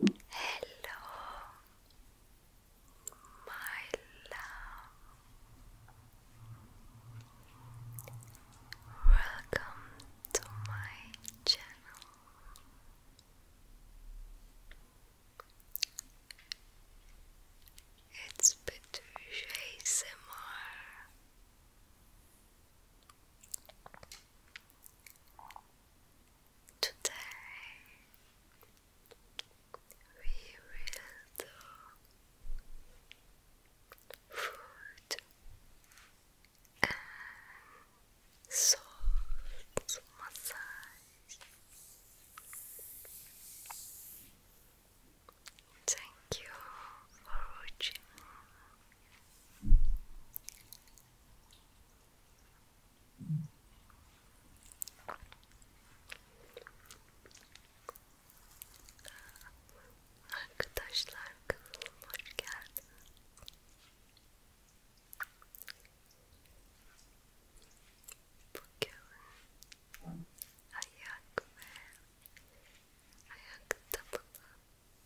Hello, my love. Welcome to my channel. It's Patricia ASMR. Today we will do food and salt massage. Thank you for watching. Arkadaşlar kanalıma hoş geldiniz. Bugün ayak ve ayak tabanı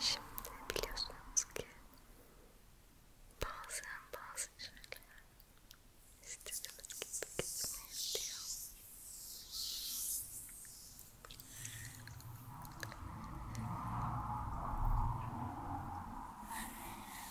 Şimdi biliyorsunuz ki bazen bazı şeyler istediğimiz gibi gitmeyebiliyor.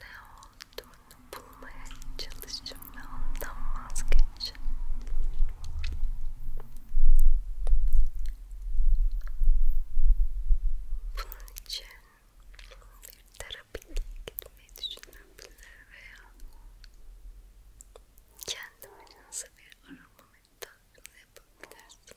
ne olduğunu bulmaya çalışın ve ondan vazgeçin. Bunun için bir terapiye gitmeyi düşünebilir veya kendi başınıza bir arama meditasyonu yapabilirsiniz.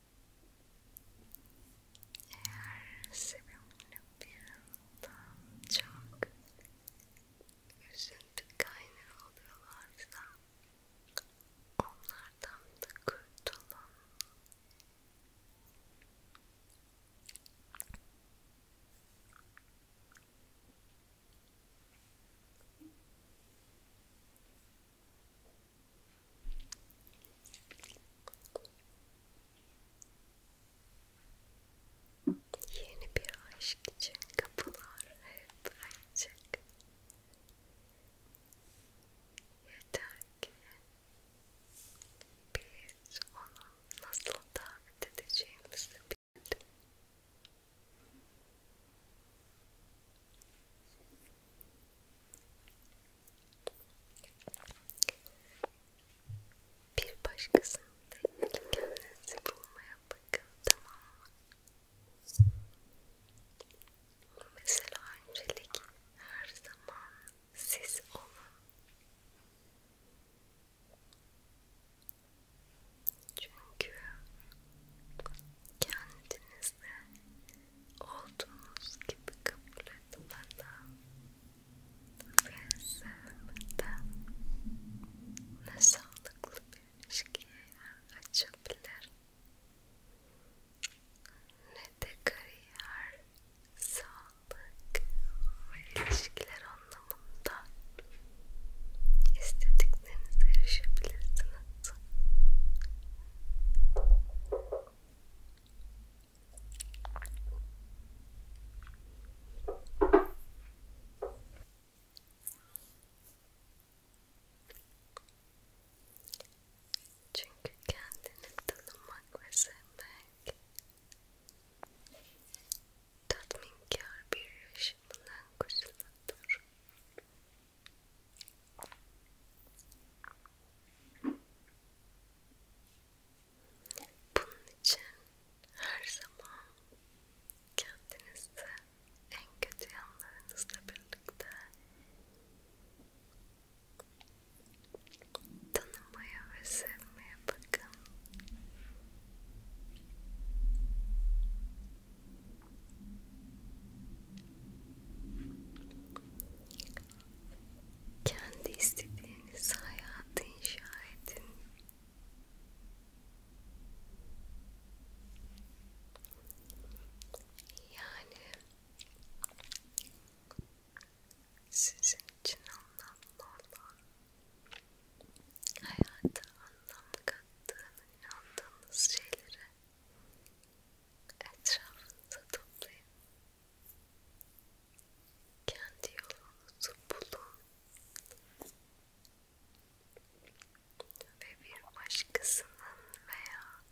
Eğer sevimli bir adam çok üzüntü kaynağı oluyorlarsa onlardan da kurtulun. Yeni bir aşk için kapılar hep açık. Yeter ki biz onu nasıl davet Bir başkasının değil, kendinizi bulmaya bakın, tamam mı? Mesela öncelik her zaman siz olun. Çünkü kendiniz sizi olduğunuz gibi kabul etmeden ve sevmeden ne sağlıklı bir ilişkiye açabilir ne de kariyer, sağlık ve ilişkiler anlamında istediklerinize erişebilirsiniz Çünkü kendini tanımak ve sevmek tatminkar bir yaşamdan kurtulmaktır. Bunun için her zaman kendinizde en kötü yanlarınızla birlikte tanımaya ve sevmeye bakın. Kendi istediğiniz hayatı inşa edin. Yani sizin için anlamlı olan hayata anlam kattığını inandığınız şeylere Etrafınıza toplayın. Kendi yolunuzu bulun. Ve bir başkasının veya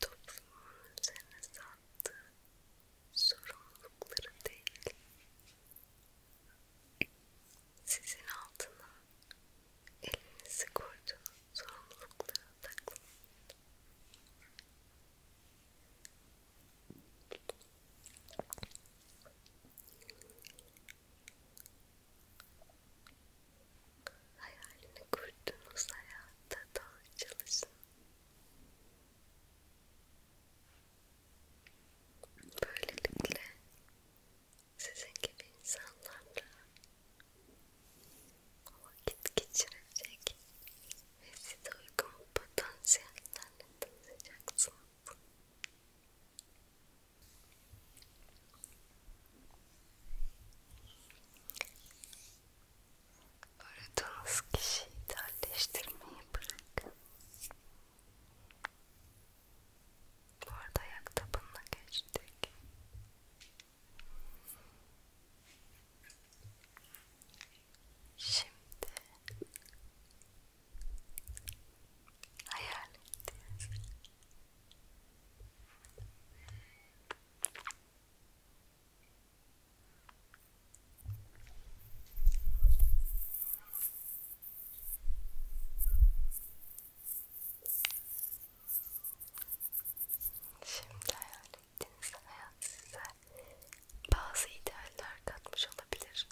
toplumun üzerinize attığı sorumlulukları değil, sizin altına elinizi koyduğunuz sorumluluklara takılın. Hayalini kurduğunuz hayatta doğru Böylelikle sizin gibi insanlarla vakit geçirecek ve size uygun potansiyellerle tanışacaksınız. Aradığınız kişiyi idealleştirmeyi bırakın. Bu arada ayak tabanına geçtik. Şimdi hayal ettiğiniz Hayal Şimdi hayal ettiğiniz hayat size bazı idealler katmış olabilir.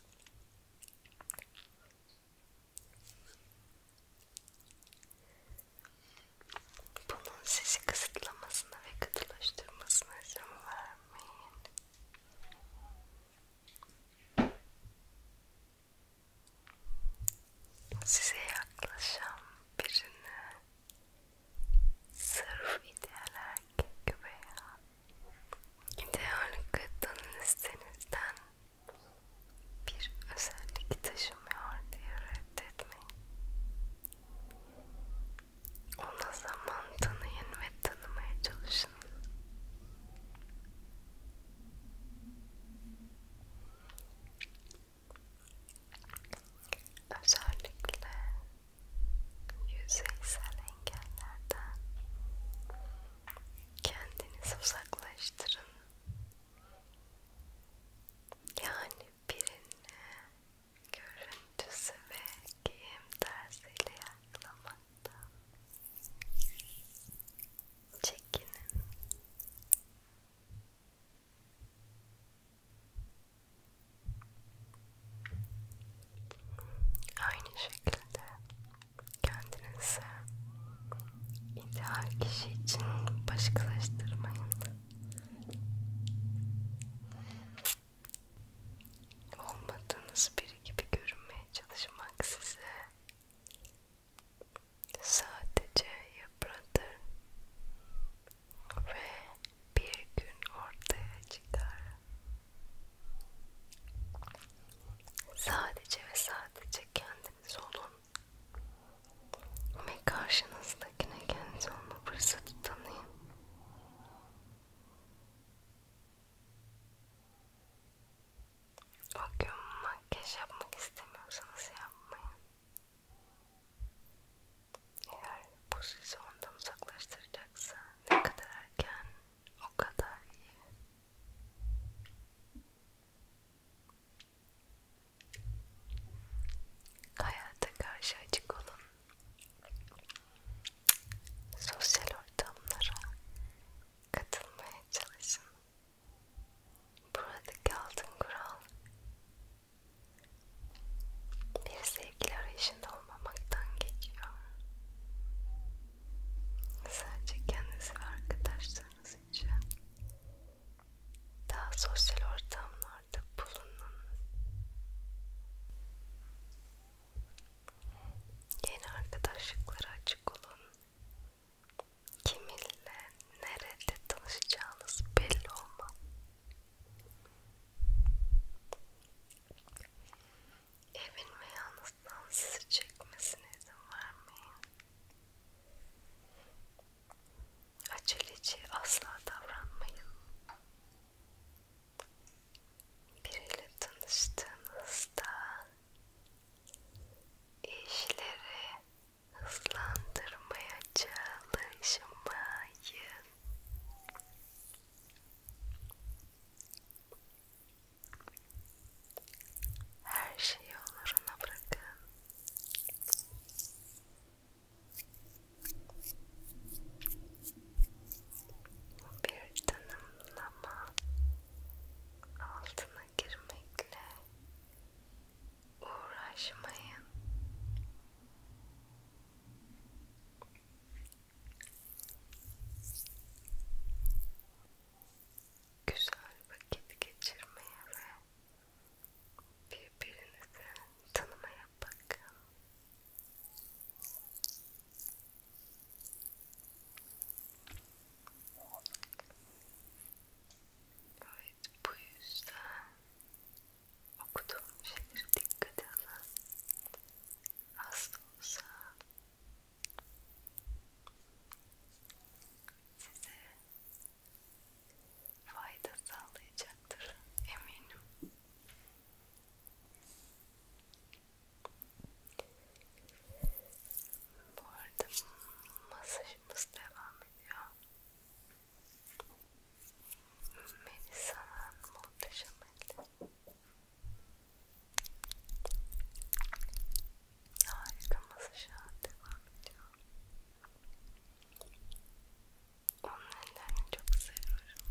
Bunun sizi kısıtlamasına ve katılaştırmasına izin vermeyin size yaklaşan birini sırf idealer gibi veya ideal kıtanın istenizden bir özellik taşımıyor diye reddetmeyin. Ona zaman tanıyın ve tanımaya çalışın. Özellikle yüzeysel engellerden kendinizi uzaklaştırın. Yani birini görüntüsü ve giyim tersiyle yakalamaktan çekinin. Aynı şekilde kendinizi ideal kişi için başkalaştırmayın. Olmadığınız biri gibi görünmeye çalışmak size sadece yıpratır ve bir gün ortaya çıkar. Sadece ve sadece kendiniz olun ve karşınızdakine kendiniz olma fırsatı tanıyın. O gün makyaj yapmak istemiyorsanız yapmayın. Eğer bu sizi ondan uzaklaştıracaksa ne kadar erken o kadar iyi. Hayata karşı açık olun. Sosyal ortamlara katılmaya çalışın. Buradaki altın kural bir sevgili arayışında olmamaktan geçiyor. Sadece kendiniz ve arkadaşlarınız için daha sosyal ortamlarda bulunun. Yeni arkadaşlıklara açık olun kiminle nerede tanışacağınız belli olmaz. Evin ve yalnızdan sizi çekmesine izin vermeyin. Aceleci asla davranmayın. Biriyle tanıştığınızda işleri hızlandırmaya çalışmayın. Her şeyi yollarına bırakın. Bir tanımlama altına girmekle uğraşmayın. Güzel vakit geçirmeye ve birbirinizi tanımaya bakın. Evet, bu yüzden okuduğum şeyleri dikkate alın. Az da olsa size fayda sağlayacaktır eminim. Bu arada masajımız devam ediyor. Melisa'nın muhteşem eli. Harika masaja devam ediyor. Onun ellerini çok seviyorum.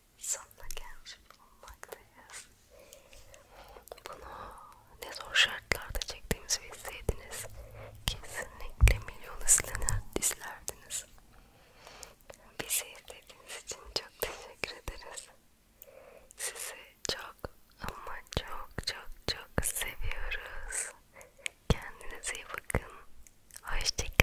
sonuna gelmiş bulunmaktayız. Bunu ne zor şartlarda çektiğimizi bilseydiniz kesinlikle milyon izlenir, izlerdiniz. Bizi izlediğiniz için çok teşekkür ederiz. Sizi çok ama çok çok çok seviyoruz. Kendinize iyi bakın. Hoşçakalın.